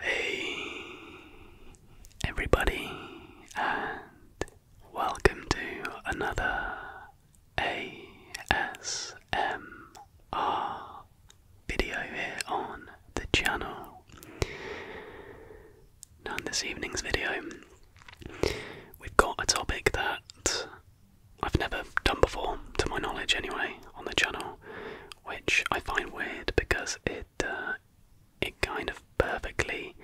Hey everybody and welcome to another ASMR video here on the channel. Now this evening's video we've got a topic that I've never done before, to my knowledge anyway, on the channel, which I find weird because it it kind of perfectly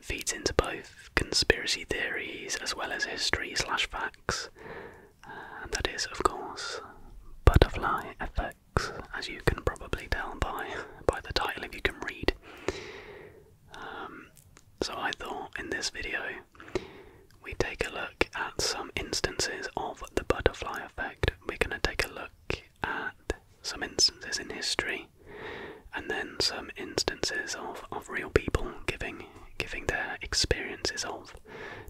feeds into both conspiracy theories as well as history slash facts, uh, and that is of course butterfly effects, as you can probably tell by by the title if you can read. Um, so I thought in this video we take a look at some instances of the butterfly effect we're going to take a look at some instances in history and then some instances of, of real people giving giving their experiences of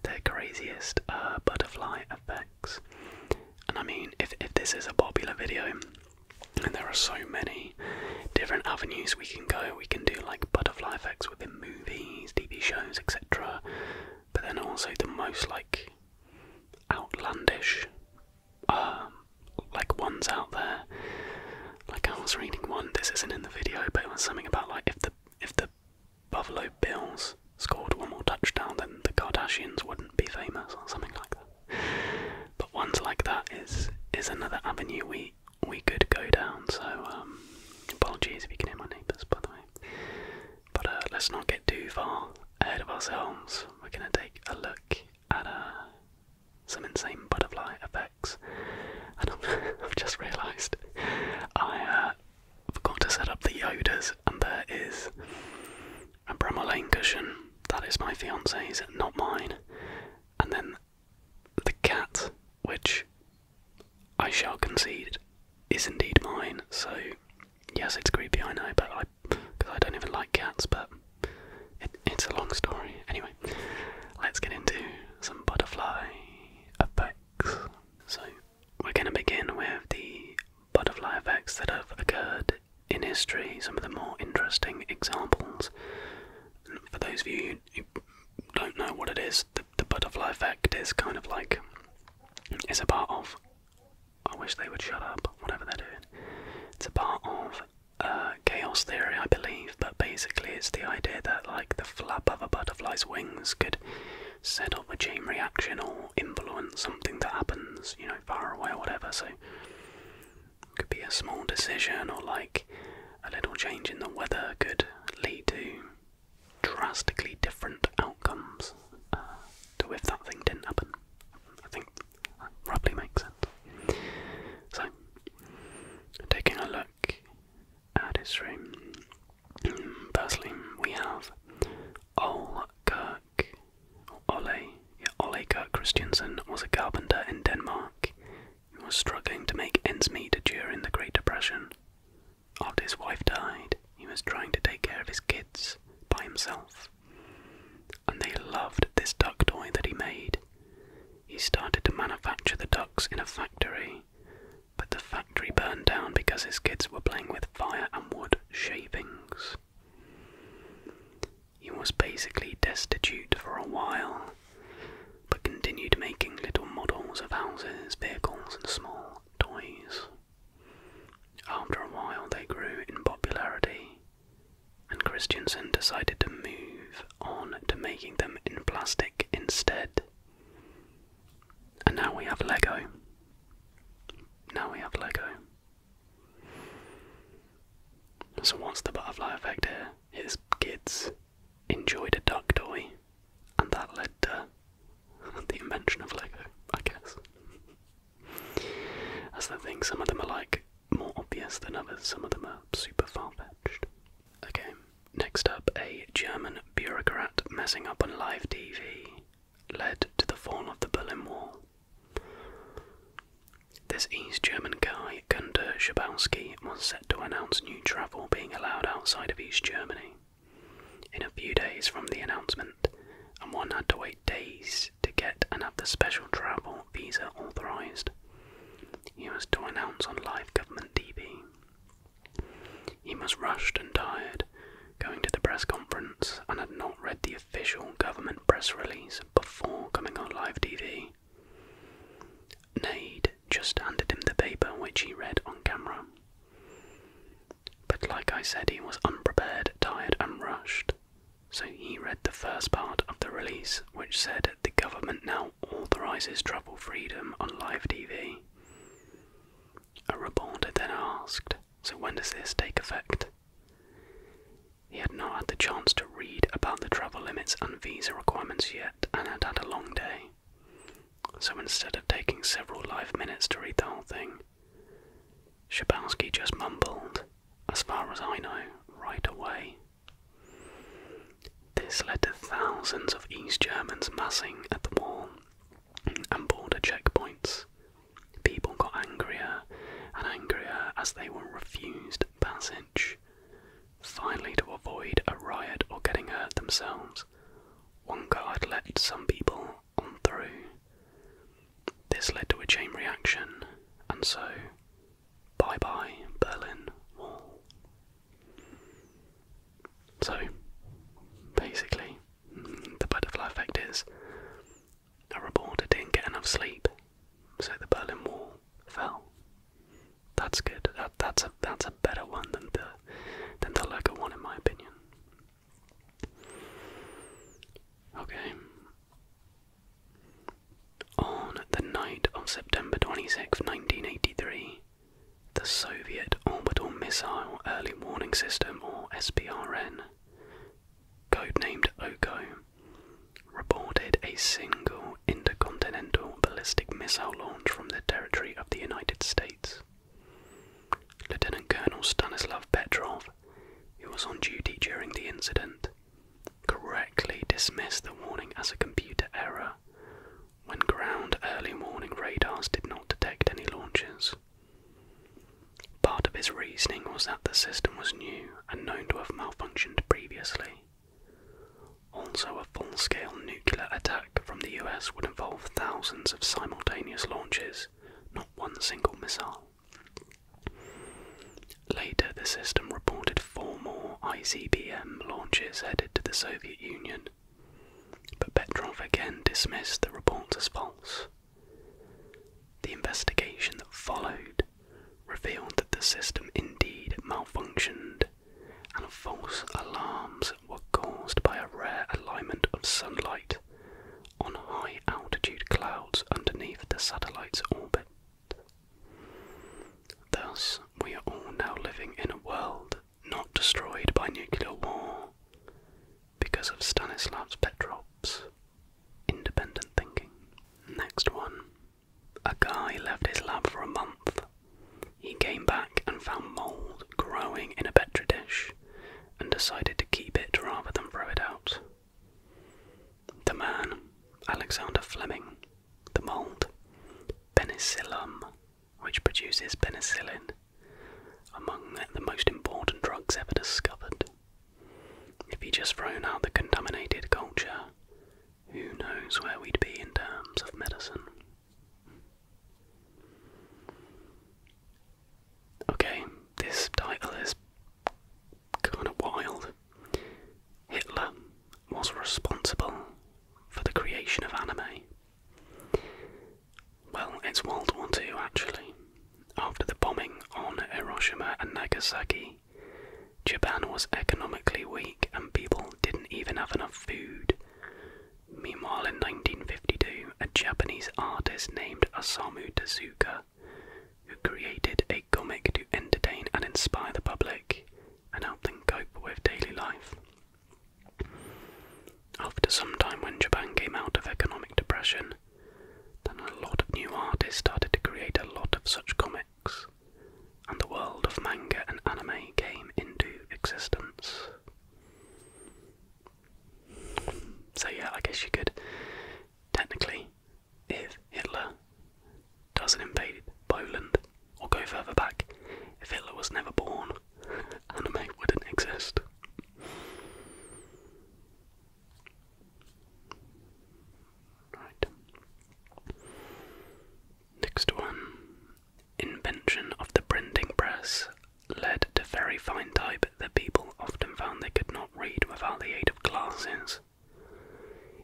their craziest uh, butterfly effects. And I mean, if, if this is a popular video, and there are so many different avenues we can go, we can do like butterfly effects within movies, TV shows, etc but then also the most like outlandish um, like ones out there. Like I was reading one, this isn't in the video, but it was something about like if the if the Buffalo Bills scored one more touchdown then the Kardashians wouldn't be famous or something like that. But ones like that is is another avenue we we could go down, so um, apologies if you can hear my neighbours by the way. But uh, let's not get too far ahead of ourselves. We're going to take a look at uh, some insane butterfly effects. I've just realised I uh, forgot to set up the Yodas, and there is a Bremolane cushion. That is my fiance's, not mine. And then the cat, which I shall concede is indeed mine. So yes, it's creepy. I know, but I because I don't even like cats, but it's a long story. Anyway, let's get into some butterfly effects. So we're going to begin with the butterfly effects that have occurred in history. Some of the more interesting examples. for those of you who don't know what it is, the, butterfly effect is kind of like it's a part of I wish they would shut up, whatever they're doing. It's a part of uh, chaos theory, I believe, but basically it's the idea that like the flap of a butterfly's wings could set off a chain reaction or influence something that happens, you know, far away or whatever. So it could be a small decision or like a little change in the weather could lead to drastically different outcomes uh, to if that thing didn't happen. I think that probably makes sense. So, taking a look at his room, firstly we have Ole Kirk, Ole, Ole Kirk Christiansen was a carpenter in Denmark who was struggling to make ends meet during the Great Depression. After his wife died, he was trying to take care of his kids by himself. And they loved this duck toy that he made. He started to manufacture the ducks in a factory, but the factory burned down because his kids were playing with fire and wood shavings. He was basically destitute for a while, but continued making little models of houses, vehicles, and small toys. After a while, they grew in popularity, and Christiansen decided to move on to making them in plastic instead. And now we have Lego. Now we have Lego. So, what's the butterfly effect here? His kids enjoyed a duck toy and that led to the invention of Lego, I guess. That's the thing, some of them are like more obvious than others, some of them are super far fetched. Okay, next up, a German bureaucrat messing up on live TV led to the fall of the Berlin Wall. This East German guy, Gunther Schabowski, was set to announce new travel being allowed outside of East Germany in a few days from the announcement, and one had to wait days to get and have the special travel visa authorised. He was to announce on live government TV. He was rushed and tired, going to the press conference, and had not read the official government press release before coming on live TV. Nade just handed him the paper which he read on camera. But like I said, he was unprepared, tired, and rushed, so he read the first part of the release which said the government now authorises travel freedom on live TV. A reporter then asked, So when does this take effect? He had not had the chance to read about the travel limits and visa requirements yet and had had a long day so instead of taking several live minutes to read the whole thing, Shabowski just mumbled, as far as I know, right away. This led to thousands of East Germans massing at the wall and border checkpoints. People got angrier and angrier as they were refused passage. Finally, to avoid a riot or getting hurt themselves, one guard let some people on through. This led to a chain reaction, and so bye bye Berlin Wall. So, basically, the butterfly effect is a reporter didn't get enough sleep, so the Berlin Wall fell. That's good. That, that's, a, that's a better one than the than the Lego one in my opinion. Okay. On the night of September 26, 1983, the Soviet Orbital Missile Early Warning System, or SBRN, code-named OCO, reported a single intercontinental ballistic missile launch from the territory of the United States. Lieutenant Colonel Stanislav Petrov, who was on duty during the incident, correctly dismissed the warning as a computer error when ground early morning radars did not detect any launches. Part of his reasoning was that the system was new and known to have malfunctioned previously. Also, a full-scale nuclear attack from the US would involve thousands of simultaneous launches, not one single missile. Later, the system reported four more ICBM launches headed to the Soviet Union, but Petrov again dismissed the reports as false. The investigation that followed revealed that the system indeed malfunctioned and false alarms were caused by a rare alignment of sunlight on high altitude clouds underneath the satellite's orbit. Thus, we are all now living in a world not destroyed by nuclear war because of Stanislav Petrov's independent thinking. Next one. A guy left his lab for a month he came back and found mould growing in a Petri dish and decided to keep it rather than throw it out. The man, Alexander Fleming, the mould, penicillium, which produces penicillin, among the most important drugs ever discovered. If he'd just thrown out the contaminated culture, who knows where we'd be in terms of medicine. Okay, this title is kind of wild. Hitler was responsible for the creation of anime. Well, it's World War II actually. After the bombing on Hiroshima and Nagasaki, Japan was economically weak and people didn't even have enough food Meanwhile, in 1952, a Japanese artist named Osamu Tezuka, who created a comic to entertain and inspire the public and help them cope with daily life. After some time, when Japan came out of economic depression, then a lot of new artists started to create a lot of such comics and the world of manga and anime came into existence. So, yeah, I guess you could technically, if Hitler doesn't invade Poland or go further back, if Hitler was never born, anime wouldn't exist. Right. Next one Invention of the printing press led to very fine type that people often found they could not read without the aid of glasses.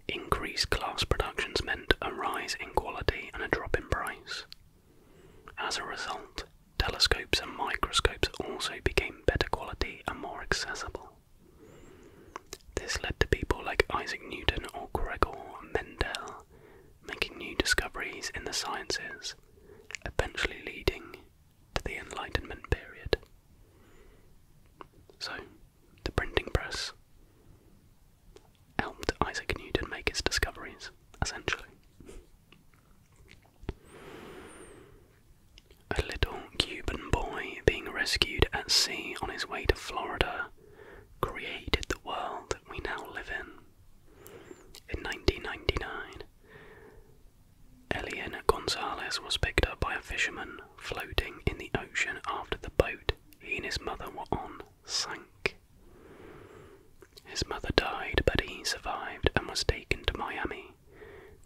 Increased glass productions meant a rise in quality and a drop in price. As a result, telescopes and microscopes also became better quality and more accessible. This led to people like Isaac Newton or Gregor Mendel making new discoveries in the sciences, eventually leading to the Enlightenment period. So, the printing press helped Isaac Newton make his discoveries, essentially. A little Cuban boy being rescued at sea on his way to Florida created the world we now live in. In 1999, Eliana Gonzalez was picked up by a fisherman floating in the ocean after the boat he and his mother were on sank. His mother died, but he survived and was taken to Miami,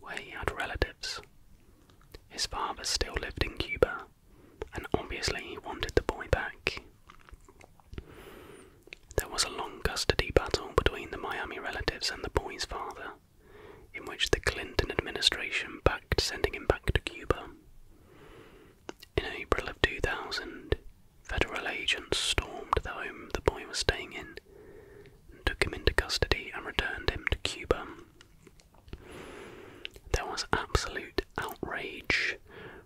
where he had relatives. His father still lived in Cuba, and obviously he wanted the boy back. There was a long custody battle between the Miami relatives and the boy's father, in which the Clinton administration backed sending him back to Cuba. In April of 2000, federal agents stormed the home the boy was staying in took him into custody and returned him to Cuba. There was absolute outrage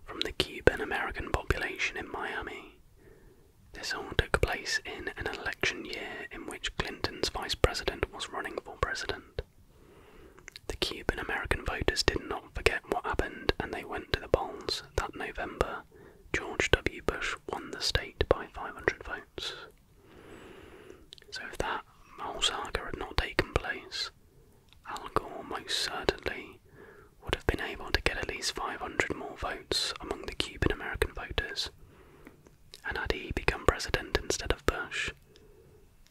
from the Cuban American population in Miami. This all took place in an election year in which Clinton's vice president was running for president. The Cuban American voters did not forget what happened and they went to the polls that November. George W. Bush won the state by 500 votes. So, if that whole saga had not taken place, Al Gore most certainly would have been able to get at least 500 more votes among the Cuban American voters. And had he become president instead of Bush,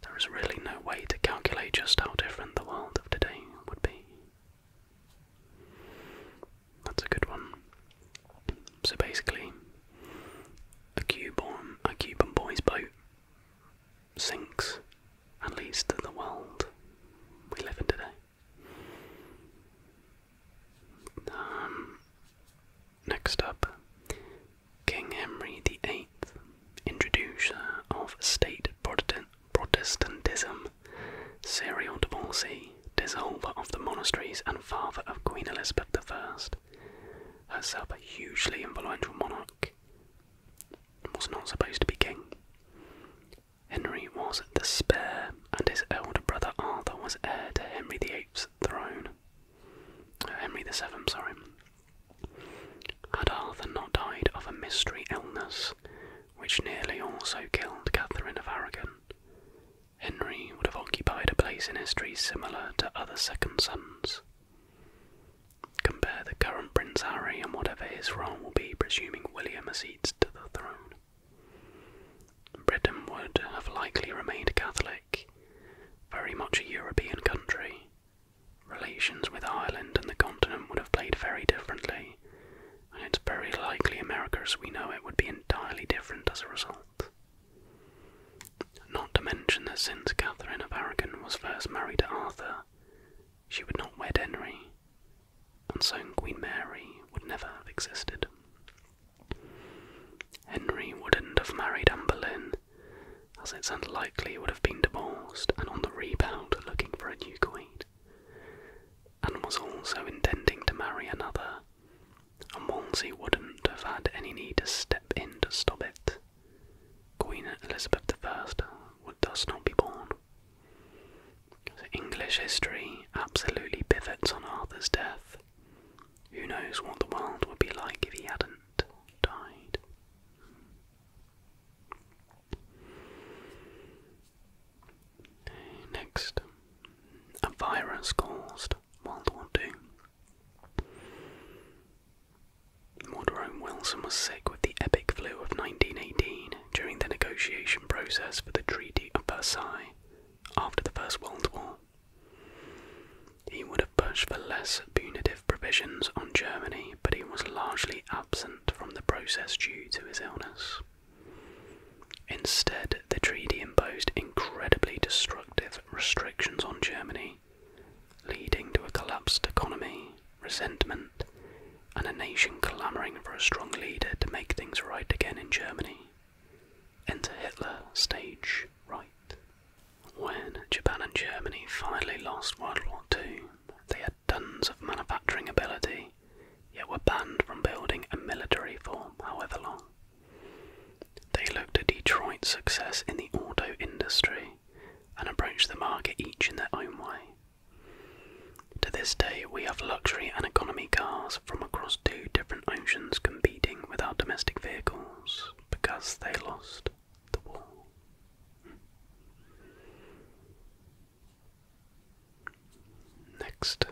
there is really no way to calculate just how different the world of today would be. That's a good one. So basically, a Cuban, a Cuban boy's boat sinks at least to the world we live in today. Um, next up, King Henry VIII, introducer of state Protestantism, serial divorcee, dissolver of the monasteries, and father of Queen Elizabeth I, herself a hugely influential monarch was not supposed to be king. Henry was the spare, and his elder brother Arthur was heir to Henry VIII's throne. Oh, Henry VII, sorry. Had Arthur not died of a mystery illness, which nearly also killed Catherine of Aragon, Henry would have occupied a place in history similar to other second sons. Compare the current Prince Harry and whatever his role will be, presuming William ascends to the throne. Britain would have likely remained Catholic, very much a European country. Relations with Ireland and the continent would have played very differently, and it's very likely America as we know it would be entirely different as a result. Not to mention that since Catherine of Aragon was first married to Arthur, she would not wed Henry, and so Queen Mary would never have existed. Henry wouldn't have married Anne Boleyn, as it's unlikely he would have been divorced and on the rebound looking for a new queen, and was also intending to marry another, and Wolsey wouldn't have had any need to step in to stop it. Queen Elizabeth I would thus not be born. English history absolutely pivots on Arthur's death. Who knows what the world would be like if he hadn't died? Next, a virus caused World War II. Morderone Wilson was sick with the epic flu of 1918 during the negotiation process for the Treaty of Versailles after the First World War. He would have pushed for less punitive provisions on Germany, but he was largely absent from the process due to his illness. Instead, the treaty imposed incredibly destructive restrictions on Germany leading to a collapsed economy, resentment, and a nation clamouring for a strong leader to make things right again in Germany. Enter Hitler, stage right. When Japan and Germany finally lost World War II, they had tons of manufacturing ability, yet were banned from building a military form however long. They looked to Detroit's success in the auto industry and approach the market each in their own way. To this day, we have luxury and economy cars from across two different oceans competing with our domestic vehicles because they lost the war. Next,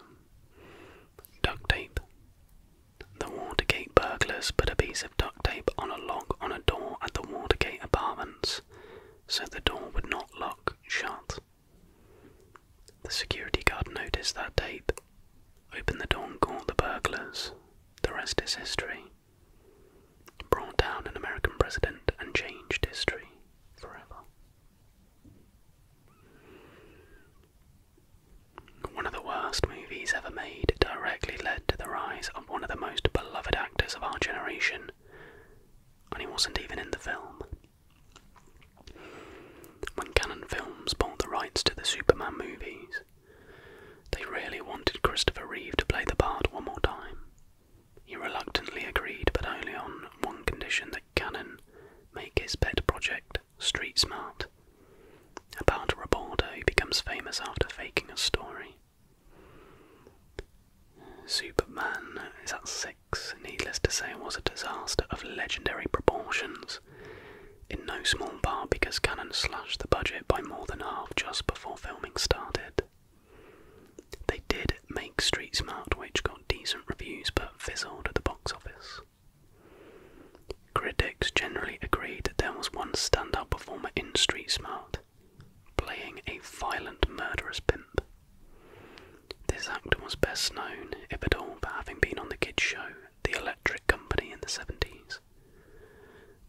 duct tape. The war Watergate burglars put a piece of duct tape on a lock on a door at the Watergate apartments so the door would not lock shut. The security guard noticed that tape, opened the door and called the burglars. The rest is history. Brought down an American president and changed history forever. One of the worst movies ever made directly led to the rise of one of the most beloved actors of our generation, and he wasn't even in the film. When Canon Films bought the rights to the Superman movies, they really wanted Christopher Reeve to play the part one more time. He reluctantly agreed, but only on one condition that Cannon make his pet project street smart, about a reporter who becomes famous after faking a story. Superman is at six, needless to say, was a disaster of legendary proportions. In no small part because Cannon slashed the budget by more than half just before filming started. They did make Street Smart, which got decent reviews but fizzled at the box office. Critics generally agreed there was one standout performer in Street Smart, playing a violent, murderous pimp. This actor was best known, if at all, for having been on the kids' show The Electric Company in the 70s.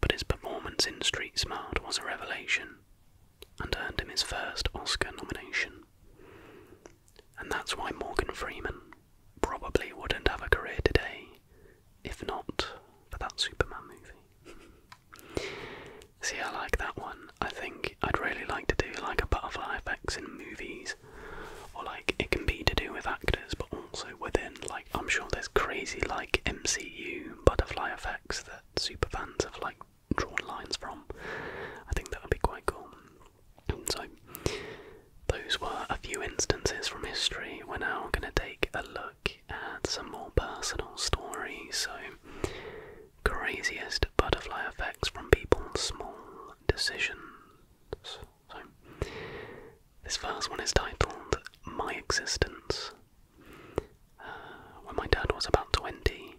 But his performance in Street Smart was a revelation and earned him his first Oscar nomination. And that's why Morgan Freeman probably wouldn't have a career today if not for that Superman movie. See, I like that one. I think I'd really like to do like a butterfly effects in movies, or like it can be to do with actors, but also within. Like, I'm sure there's crazy like MCU butterfly effects that super fans have like drawn lines from. I think that would be quite cool. So, those were a few instances from history. We're now going to take a look look at some more personal stories. So, craziest butterfly effects from people's small decisions. So, this first one is titled My Existence. Uh, when my dad was about 20,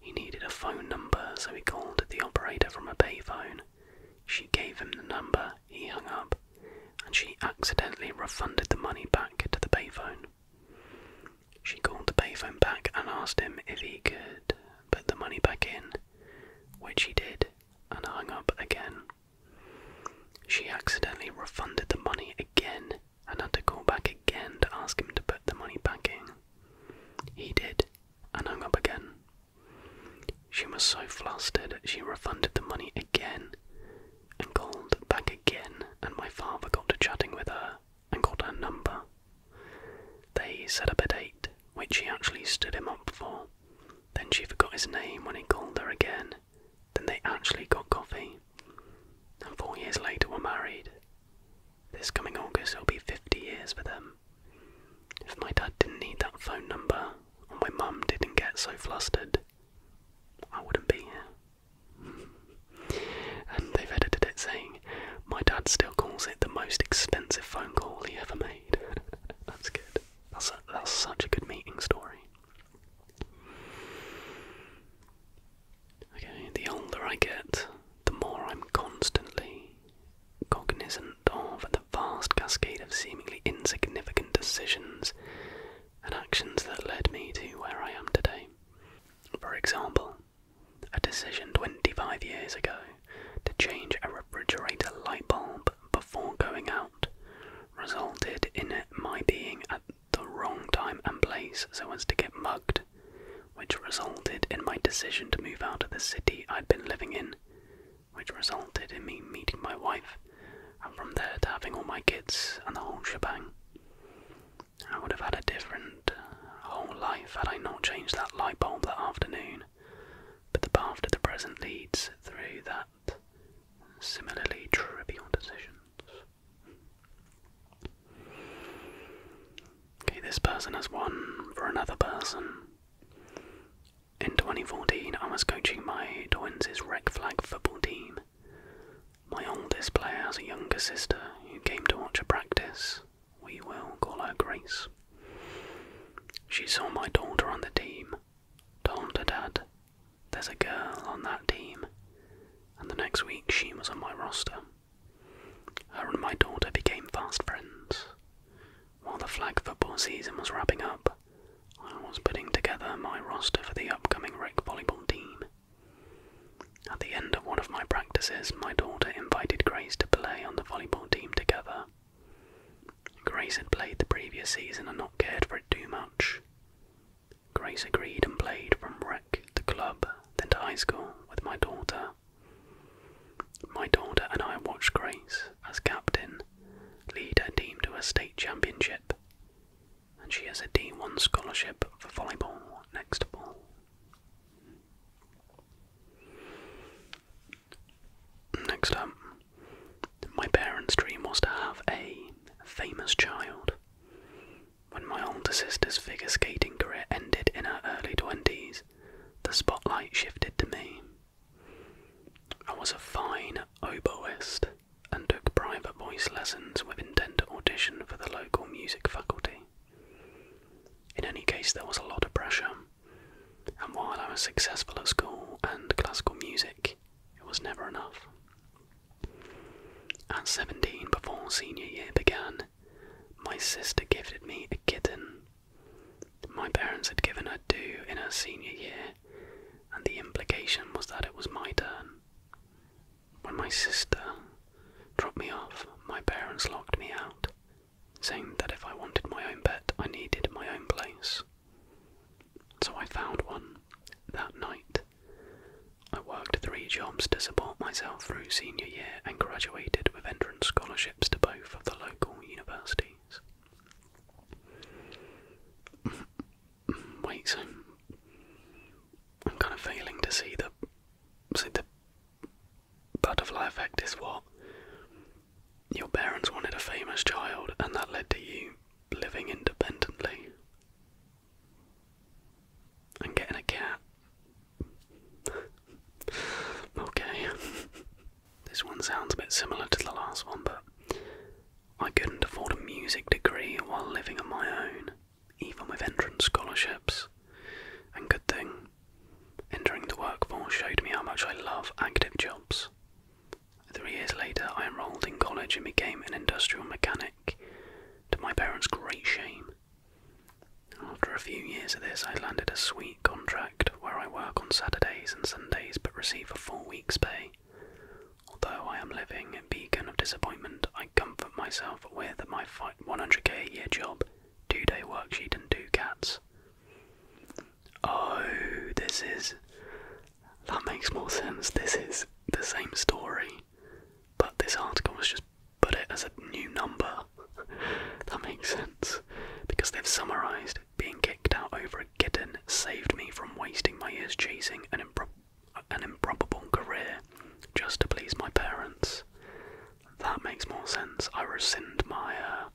he needed a phone number, so he called the operator from a payphone. She gave him the number, he hung up and she accidentally refunded the money back to the payphone. She called the payphone back and asked him if he could put the money back in, which he did and hung up again. She accidentally refunded the money again and had to call back again to ask him to put the money back in. He did and hung up again. She was so flustered she refunded the money again and called back again, and my father got to chatting with her and got her number. They set up a date, which he actually stood him up for. Then she forgot his name when he called her again. Then they actually got coffee. And four years later were married. This coming August it'll be 50 years for them. If my dad didn't need that phone number, and my mum didn't get so flustered, I wouldn't be here. and they've edited it saying, My dad still calls it the most expensive phone call he ever made. that's good. That's, that's such a good meeting story. Okay, the older I get, the more I'm constantly cognizant of the vast cascade of seemingly insignificant decisions and actions that led me to where I am today. For example, a decision 25 years ago to change a refrigerator light bulb before going out resulted in my being at the wrong time and place so as to get mugged, which resulted in my decision to move out of the city I'd been living in which resulted in me meeting my wife, and from there to having all my kids and the whole shebang. I would have had a different uh, whole life had I not changed that light bulb that afternoon, but the path to the present leads through that similarly trivial decisions. Okay, this person has won for another person. In 2014, I was coaching my Twins' rec flag football team. My oldest player has a younger sister who came to watch a practice. We will call her Grace. She saw my daughter on the team, told her dad, There's a girl on that team, and the next week she was on my roster. Her and my daughter became fast friends. While the flag football season was wrapping up, I was putting together my roster for the upcoming rec volleyball team. At the end of one of my practices, my daughter invited Grace to play on the volleyball team together. Grace had played the previous season and not cared for it too much. Grace agreed and played from rec to club, then to high school with my daughter. My daughter and I watched Grace as captain lead her team to a state championship, and she has a D1 scholarship for volleyball next ball. Next up, my parents' dream was to have a famous child. When my older sister's figure skating career ended in her early 20s, the spotlight shifted to me. I was a fine oboist and took private voice lessons with intent to audition for the local music faculty. In any case, there was a lot of pressure, and while I was successful at school and classical music, it was never enough. At 17, before senior year began, my sister gifted me a kitten my parents had given her due in her senior year, and the implication was that it was my turn. When my sister dropped me off, my parents locked me out, saying that if I wanted my own bed, I needed my own place. So I found one that night. I worked three jobs to support myself through senior year and graduated with entrance scholarships to both of the local universities. Wait, so I'm kind of failing to see the see the butterfly effect is what your parents wanted a famous child, and that led to you living independently and getting a cat. okay. This one sounds a bit similar to the last one, but I couldn't afford a music degree while living on my own, even with entrance scholarships. And good thing, entering the workforce showed me how much I love active jobs. Three years later, I enrolled in college and became an industrial mechanic, to my parents' great shame. After a few years of this, I landed a sweet contract where I work on Saturdays and Sundays but receive a full week's pay. Although I am living in beacon of disappointment, I comfort myself with my 100k a year job, two day worksheet, and two cats. Oh, this is. That makes more sense. This is the same story, but this article has just put it as a new number. that makes sense because they've summarised being kicked out over a kitten saved me from wasting my years chasing an, impro an improbable career just to please my parents. That makes more sense. I rescind my uh,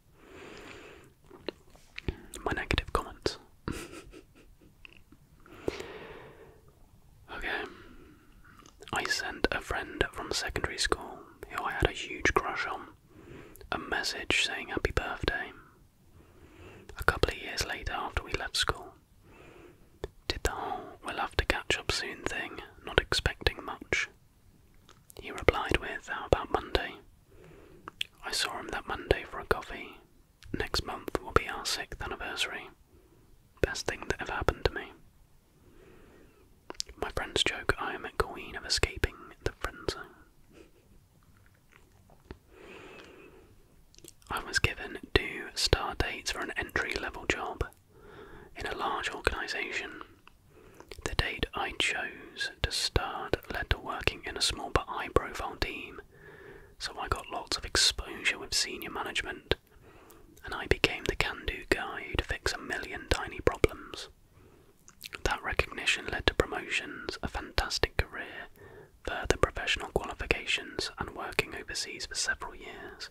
my negative comments. okay. I sent a friend from secondary school who I had a huge crush on a message saying happy birthday. A couple of years later, after we left school, did the whole we'll have to catch up soon thing, not expecting much. He replied with, How about Monday? I saw him that Monday for a coffee. Next month will be our sixth anniversary. Best thing that ever happened to me. My friends joke I am a queen of escaping the friends. zone. I was given two start dates for an entry level job in a large organisation. The date I chose to start led to working in a small but high profile team, so I got lots of exposure with senior management, and I became the can do guy who'd fix a million tiny problems. That recognition led to promotions, a fantastic career, further professional qualifications, and working overseas for several years.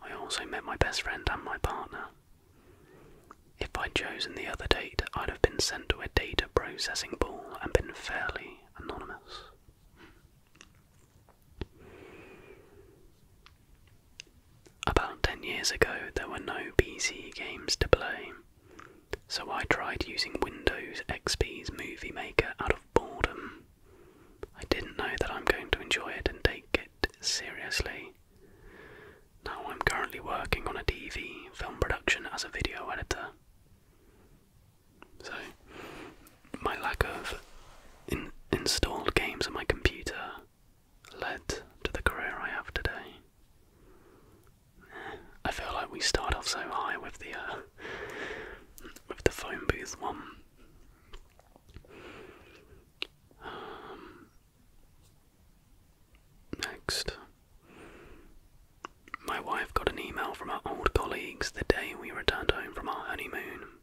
I also met my best friend and my partner. If I'd chosen the other date, I'd have been sent to a data processing pool and been fairly anonymous. About 10 years ago, there were no PC games to play, so I tried using Windows XP's Movie Maker out of boredom. I didn't know that I'm going to enjoy it and take it seriously. Now I'm currently working on a TV film production as a video editor. So, my lack of installed games on my computer led to the career I have today. I feel like we start off so high with the uh, with the phone booth one. Um, next, my wife got an email from our old colleagues the day we returned home from our honeymoon,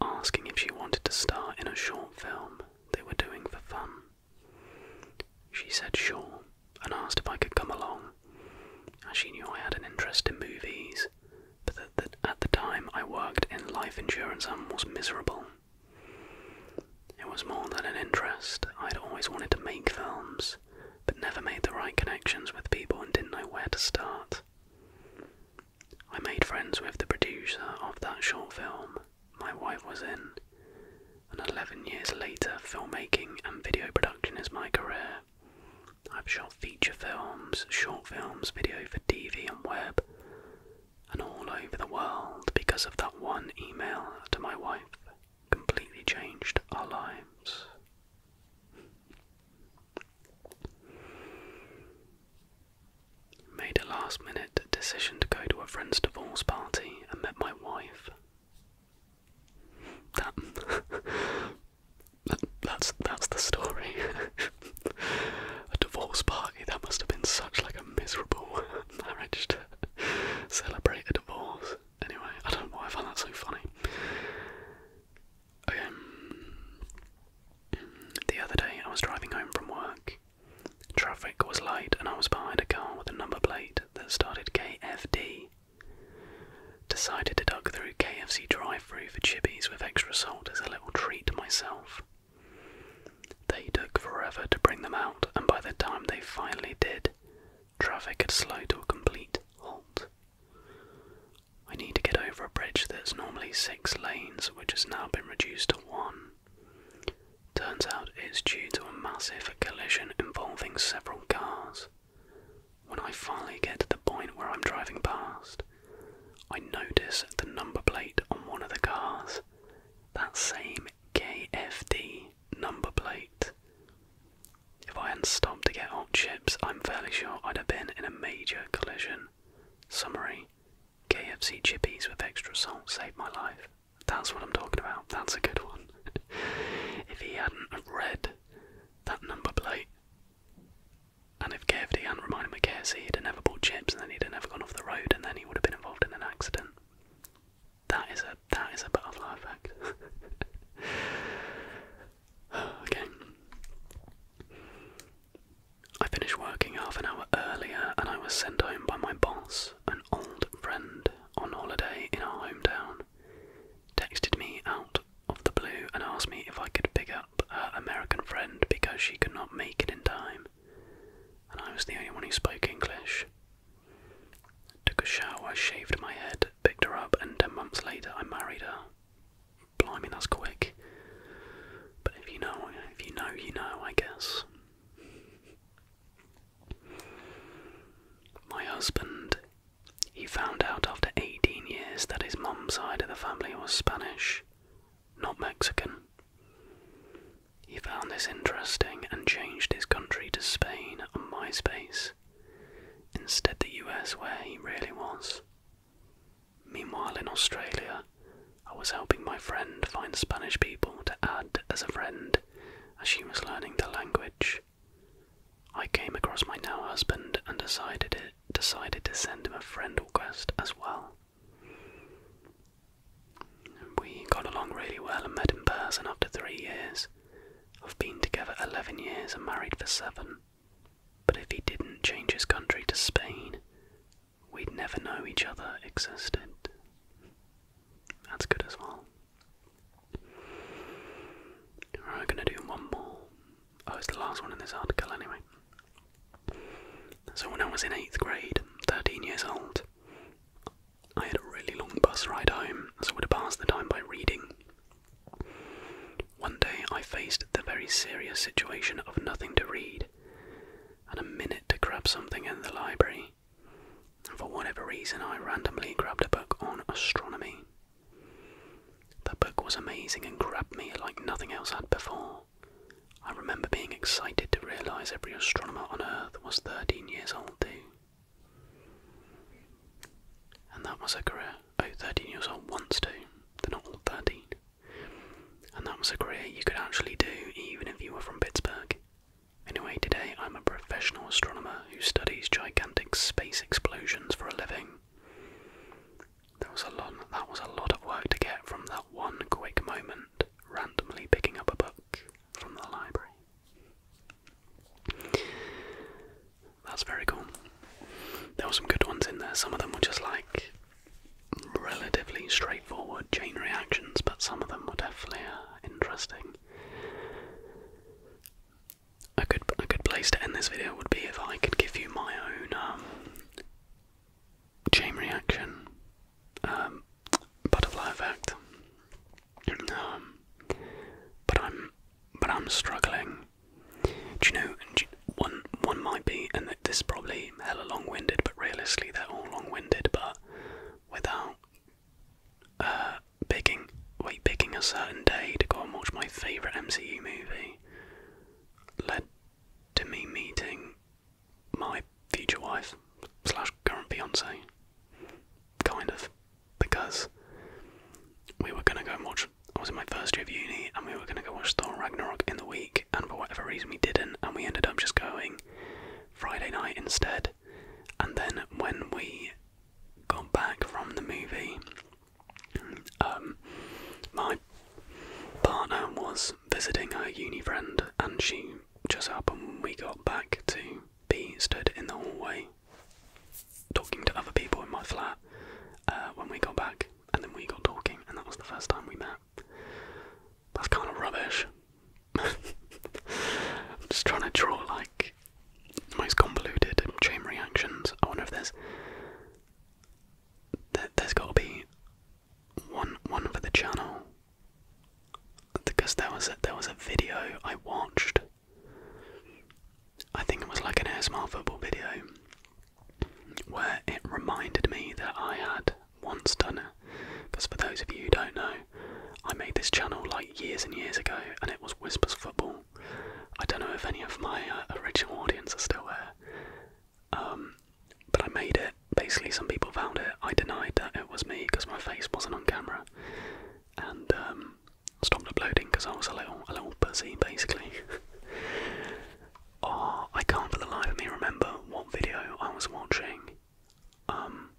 asking if she wanted to star in a short film they were doing for fun. She said sure and asked if I could come along, as she knew I had an interest in movies, but that at the time I worked in life insurance and was miserable. It was more than an interest, I'd always wanted to make films, but never made the right connections with people and didn't know where to start. I made friends with the producer of that short film my wife was in, and 11 years later, filmmaking and video production is my career. I've shot feature films, short films, video for TV and web, and all over the world because of that one email to my wife completely changed our lives. Made a last minute decision to go to a friend's divorce party and met my wife. That, that that's that's the story. a divorce party that must have been such like a miserable marriage to celebrate a divorce. Anyway, I don't know why I found that so funny. Okay. Um, the other day I was driving home from work Traffic was light, and I was behind a car with a number plate that started KFD. Decided to duck through KFC drive-through for chippies with extra salt as a little treat to myself. They took forever to bring them out, and by the time they finally did, traffic had slowed to a complete halt. I need to get over a bridge that's normally six lanes, which has now been reduced to one. Turns out it's due to a massive collision involving several cars. When I finally get to the point where I'm driving past, I notice the number plate on one of the cars, that same KFD number plate. If I hadn't stopped to get hot chips, I'm fairly sure I'd have been in a major collision. Summary KFC chippies with extra salt saved my life. That's what I'm talking about. That's a good one. if he hadn't read that number plate, and if KFD hadn't reminded me of KFC, he'd have never bought chips, and then he'd have never gone off the road, and then he would have been involved in an accident. That is a that is a butterfly effect. okay. I finished working half an hour earlier and I was sent home by my boss, an old friend on holiday in our hometown. Texted me out of the blue and asked me if I could pick up her American friend because she could not make it in time. And I was the only one who spoke English. Took a shower, shaved my head, picked her up, and ten months later I married her. Blimey, that's quick. But if you know, if you know, you know, I guess. My husband, he found out after 18 years that his mum's side of the family was Spanish, not Mexican. He found this interesting and changed his country to Spain on MySpace, instead the US where he really was. Meanwhile in Australia, I was helping my friend find Spanish people to add as a friend as she was learning the language. I came across my now husband and decided it decided to send him a friend request as well. We got along really well and met in person after three years. I've been together 11 years and married for seven. But if he didn't change his country to Spain, we'd never know each other existed. That's good as well. Right, i gonna do one more. Oh, it's the last one in this article anyway. So when I was in eighth grade, 13 years old, I had a really long bus ride home, so I would pass the time by reading. One day I faced the very serious situation of nothing to read, and a minute to grab something in the library, and for whatever reason, I randomly grabbed a book on astronomy. The book was amazing and grabbed me like nothing else had before. I remember being excited to realise every astronomer on Earth was 13 years old, too. And that was a career. Oh, 13 years old once, too. They're not all 13. And that was a career you could actually do even if you were from Pittsburgh. Anyway, today I'm a professional astronomer who studies gigantic space explosions for a living. That was a lot, that was a lot of work to get from that one quick moment, randomly picking up a book from the library. That's very cool. There were some good ones in there. Some of them were just like relatively straightforward chain reactions, but some of them were definitely uh, interesting. A good a good place to end this video would be if I could give you my own um, chain reaction um, butterfly effect. Um, but I'm but I'm struggling. Do you know? one one might be, this is probably hella long-winded, but realistically they're all long-winded, but without uh, picking, wait, picking a certain day to go and watch my favourite MCU movie led to me meeting my future wife slash current Beyonce, kind of, because we were gonna go and watch. I was in my first year of uni, and we were gonna go watch Thor Ragnarok in the week and for whatever reason we didn't, and we ended up just going Friday night instead. And then when we got back from the movie, um, my partner was visiting her uni friend, and she just happened when we got back to be stood in the hallway talking to other people in my flat uh, when we got back, and then we got talking, and that was the first time we met. That's kind of rubbish. I'm just trying to draw like the most convoluted chain reactions. I wonder if there's there, has got to be one one for the channel because there was a, there was a video I watched. I think it was like an ASMR football video, where it reminded me that I had once done it. Because for those of you who don't know, I made this channel like years and years ago and it was Whispers Football. I don't know if any of my uh, original audience are still there. Um, but I made it. Basically, some people found it. I denied that it was me because my face wasn't on camera, and um, stopped uploading because I was a little, a little busy, basically. Oh, I can't for the life of me remember what video I was watching. Um,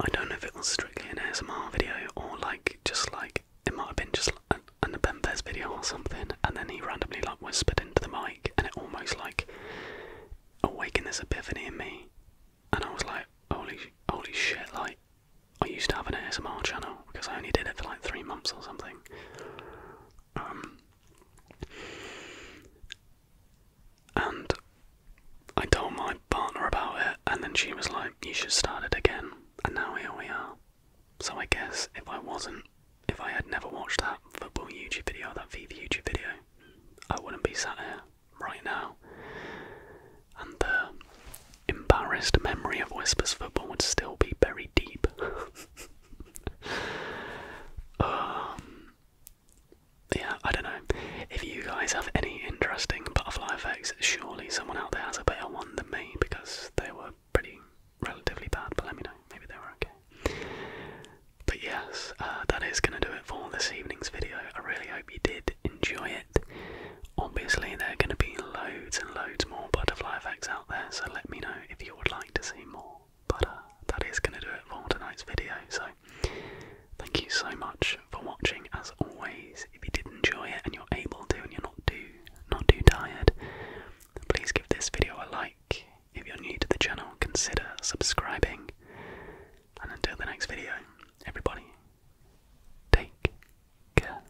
I don't know if it was strictly an ASMR video or like just like it might have been just an, an Apempes video or something, and then he randomly like whispered into the mic, and it almost like awakened this epiphany in me, and I was like, holy, holy shit! Like, I used to have an ASMR channel because I only did it for like three months or something. Um, and I told my partner about it, and then she was like, You should start it again. And now here we are. So I guess if I wasn't, if I had never watched that football YouTube video, that FIFA YouTube video, I wouldn't be sat here right now. And the embarrassed memory of Whispers football would still be buried deep. Um, yeah, I don't know. If you guys have any interesting butterfly effects, surely someone out there has a better one than me because they were pretty relatively bad. But let me know. Maybe they were okay. But yes, uh, that is going to do it for this evening's video. I really hope you did enjoy it. Obviously, there are going to be loads and loads more butterfly effects out so let me know if you would like to see more. But uh, that is going to do it for tonight's video, so thank you so much for watching as always. If you did enjoy it and you're able to and you're not too, not too tired, please give this video a like. If you're new to the channel, consider subscribing. And until the next video, everybody, take care.